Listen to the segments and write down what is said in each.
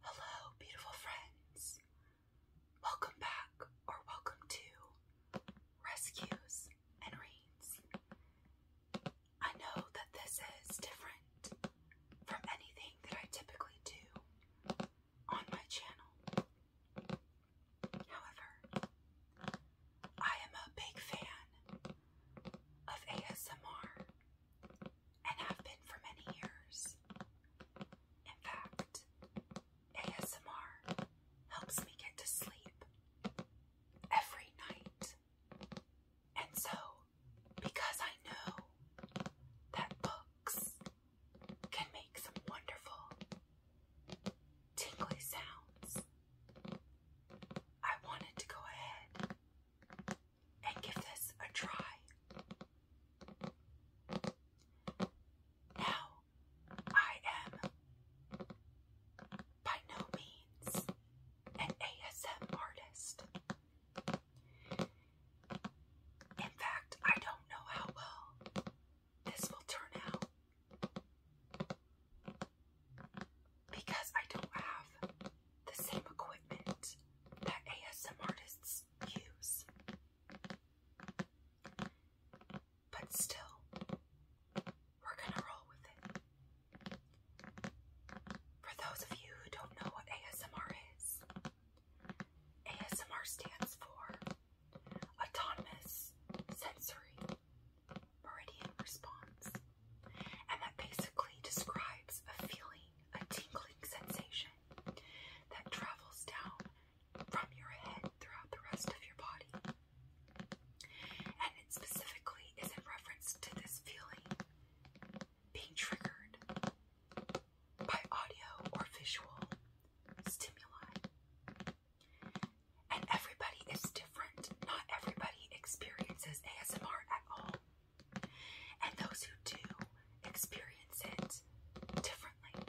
Hello, beautiful friends. Welcome back or welcome to Rescues and Reads. I know that this is different from anything that I typically do on my channel. However, I am a big fan of ASMR and have been for many years. In fact, ASMR helps me get to sleep every night. And so, because I know that books can make some wonderful tingly sounds, I wanted to go ahead and give this a try. Now, I am by no means an ASM artist. In fact, I don't know how well this will turn out because I don't have the same equipment that ASMR artists use. But still, we're gonna roll with it. For those of you who don't know what ASMR is, ASMR stands for Autonomous Sensory Meridian Response, and that basically describes a feeling a tingling sensation that travels down from your head throughout the rest of your body. And it specifically is in reference to this feeling being triggered by audio or visual stimuli. And everybody is different. Not everybody experiences ASMR at all. And those who do experience it differently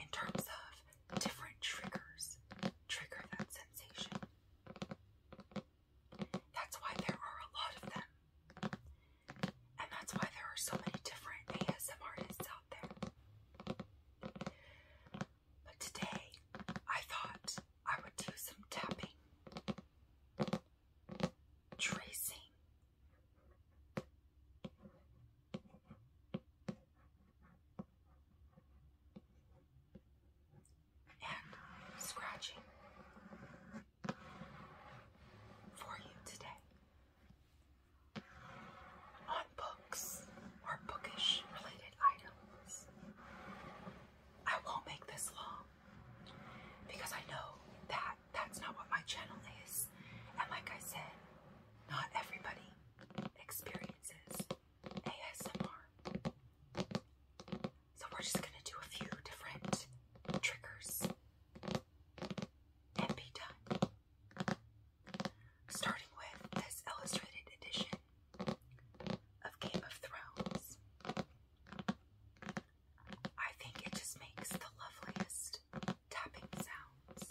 in terms of different triggers trigger that sensation. That's why there are a lot of them. And that's why there are so many different ASM artists out there. But today, I thought I would do some tapping tracing. And scratching for you today on books or bookish related items. I won't make this long because I know that that's not what my channel is. And like I said, not everybody experiences ASMR. So we're just gonna do a few different triggers and be done. Starting with this illustrated edition of Game of Thrones. I think it just makes the loveliest tapping sounds.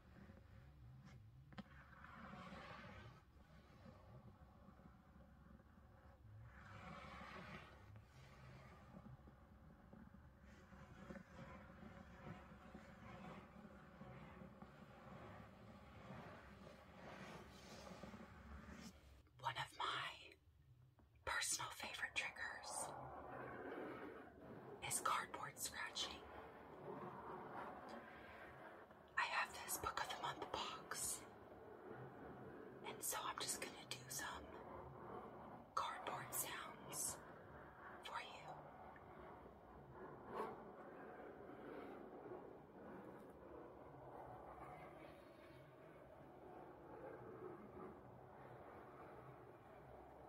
One of my personal favorite triggers is cardboard scratching. I have this book of the month box, and so I'm just going to do some cardboard sounds for you.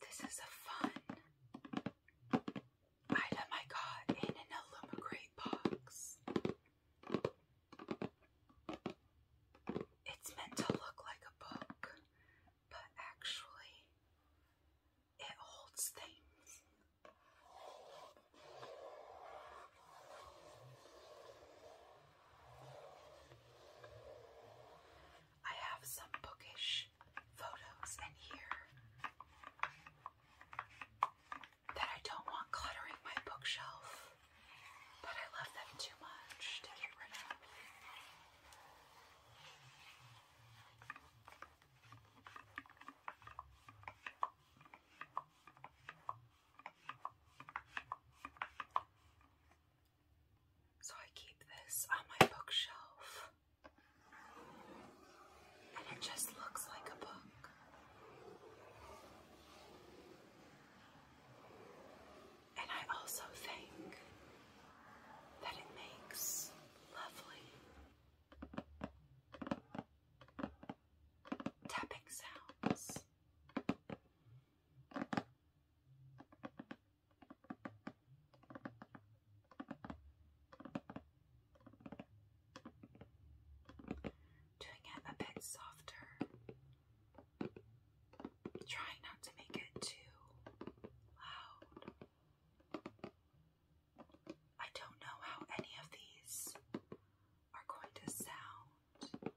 This is a fun item I got in an Illumicrate box. It's meant to look like a book, but actually, it holds things. I have some bookish photos in here that I don't want cluttering my bookshelf, but I love them too much to get rid of. So I keep this on my bookshelf. And it just looks like a book. And I also think that it makes lovely tapping sounds. Doing it a bit softer. Trying not to make it too loud. I don't know how any of these are going to sound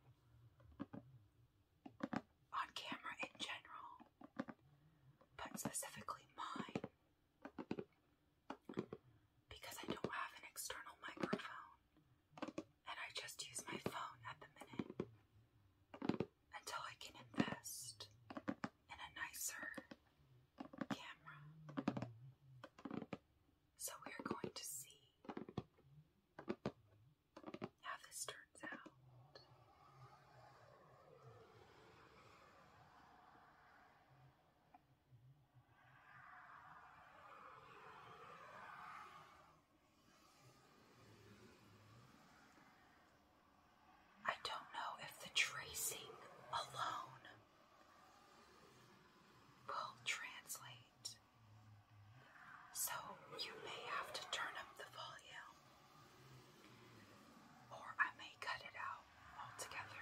on camera in general, but specifically mine, because I don't have an external microphone and I just use my phone at the minute until I can invest in a nicer camera. So we are going to see how this turns out. I don't know if the tracing alone will translate night. So you may have to turn up the volume, or I may cut it out altogether.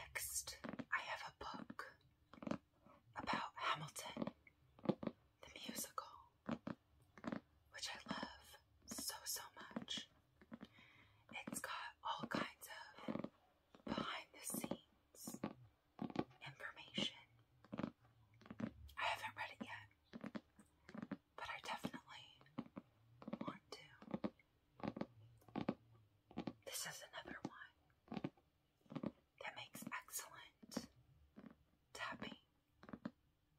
Next, I have a book about Hamilton, the musical, which I love so, so much. It's got all kinds of behind the scenes information. I haven't read it yet, but I definitely want to. This is another one that makes excellent tapping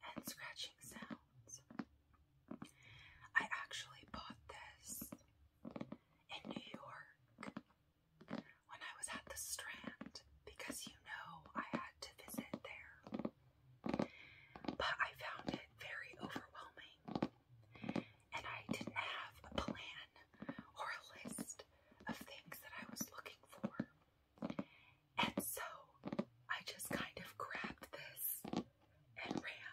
and scratching sounds. I actually bought this in New York when I was at the Strand because you know I had to visit there. But I found it very overwhelming, and I didn't have a plan or a list of things that I was looking for. And so I just kind of grabbed this and ran.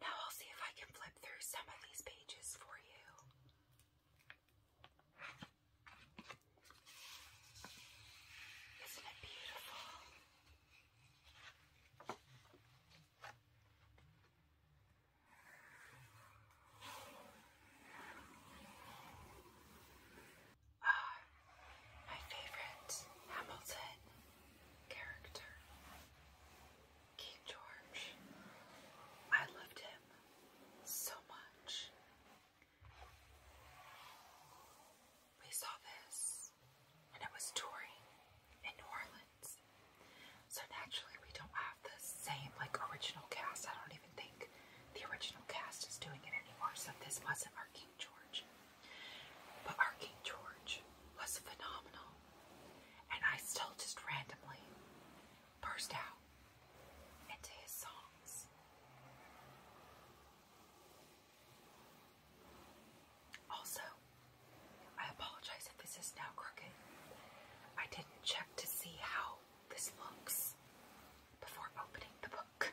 Now I'll see if I can flip through some of these pages for you. Isn't it beautiful? uh, my favorite Hamilton character, King George. I loved him so much. We saw this when it was touring in New Orleans. So naturally, we don't have the same like original cast. I don't even think the original cast is doing it anymore. So this wasn't our King George. But our King George was phenomenal, and I still just randomly burst out into his songs. Also, I apologize if this is now crooked. I didn't check to see how this looks before opening the book.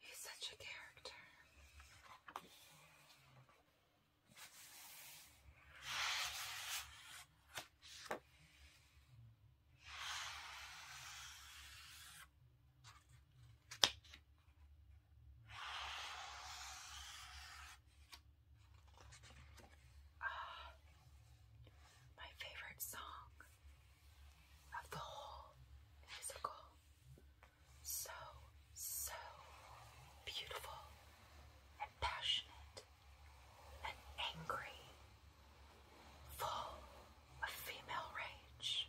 He's such a character. Uh, my favorite song of the whole musical so, so beautiful and passionate and angry, full of female rage.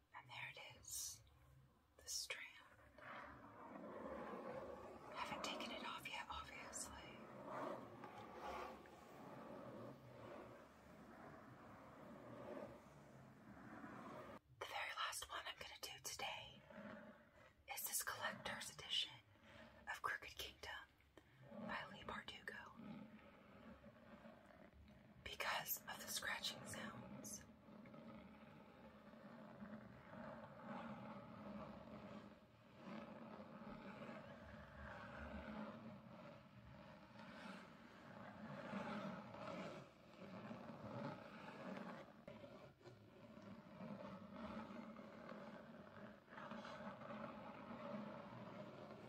And there it is, the strand. haven't taken it off yet, obviously. The very last one I'm going to do today is this collector's edition of Crooked Kingdom by Lee Bardugo because of the scratching sounds.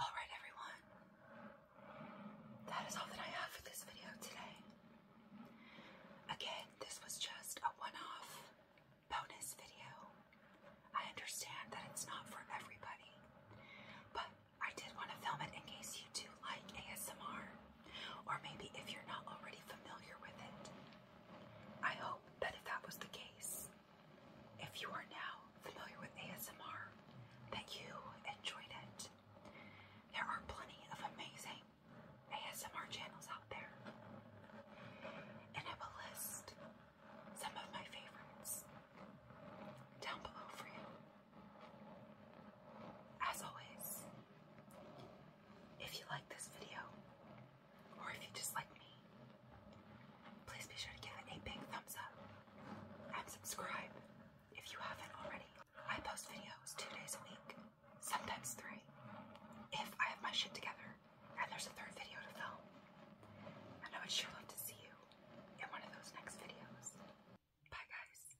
All right, everyone that is all that I have for this video today. Again, this was just a one-off bonus video. I understand that it's not for everybody, but I did want to film it in case you do like ASMR, or maybe if you're not already familiar with it. I hope that if that was the case, if you are now familiar with ASMR, that you enjoyed it. There are plenty of amazing ASMR channels out there. And I will list some of my favorites down below for you. As always, if you like this video, or if you just like me, please be sure to give it a big thumbs up and subscribe if you haven't already. I post videos two days a week, sometimes three, if I have my shit together and there's a third video to film. And I would sure love to see you in one of those next videos. Bye, guys.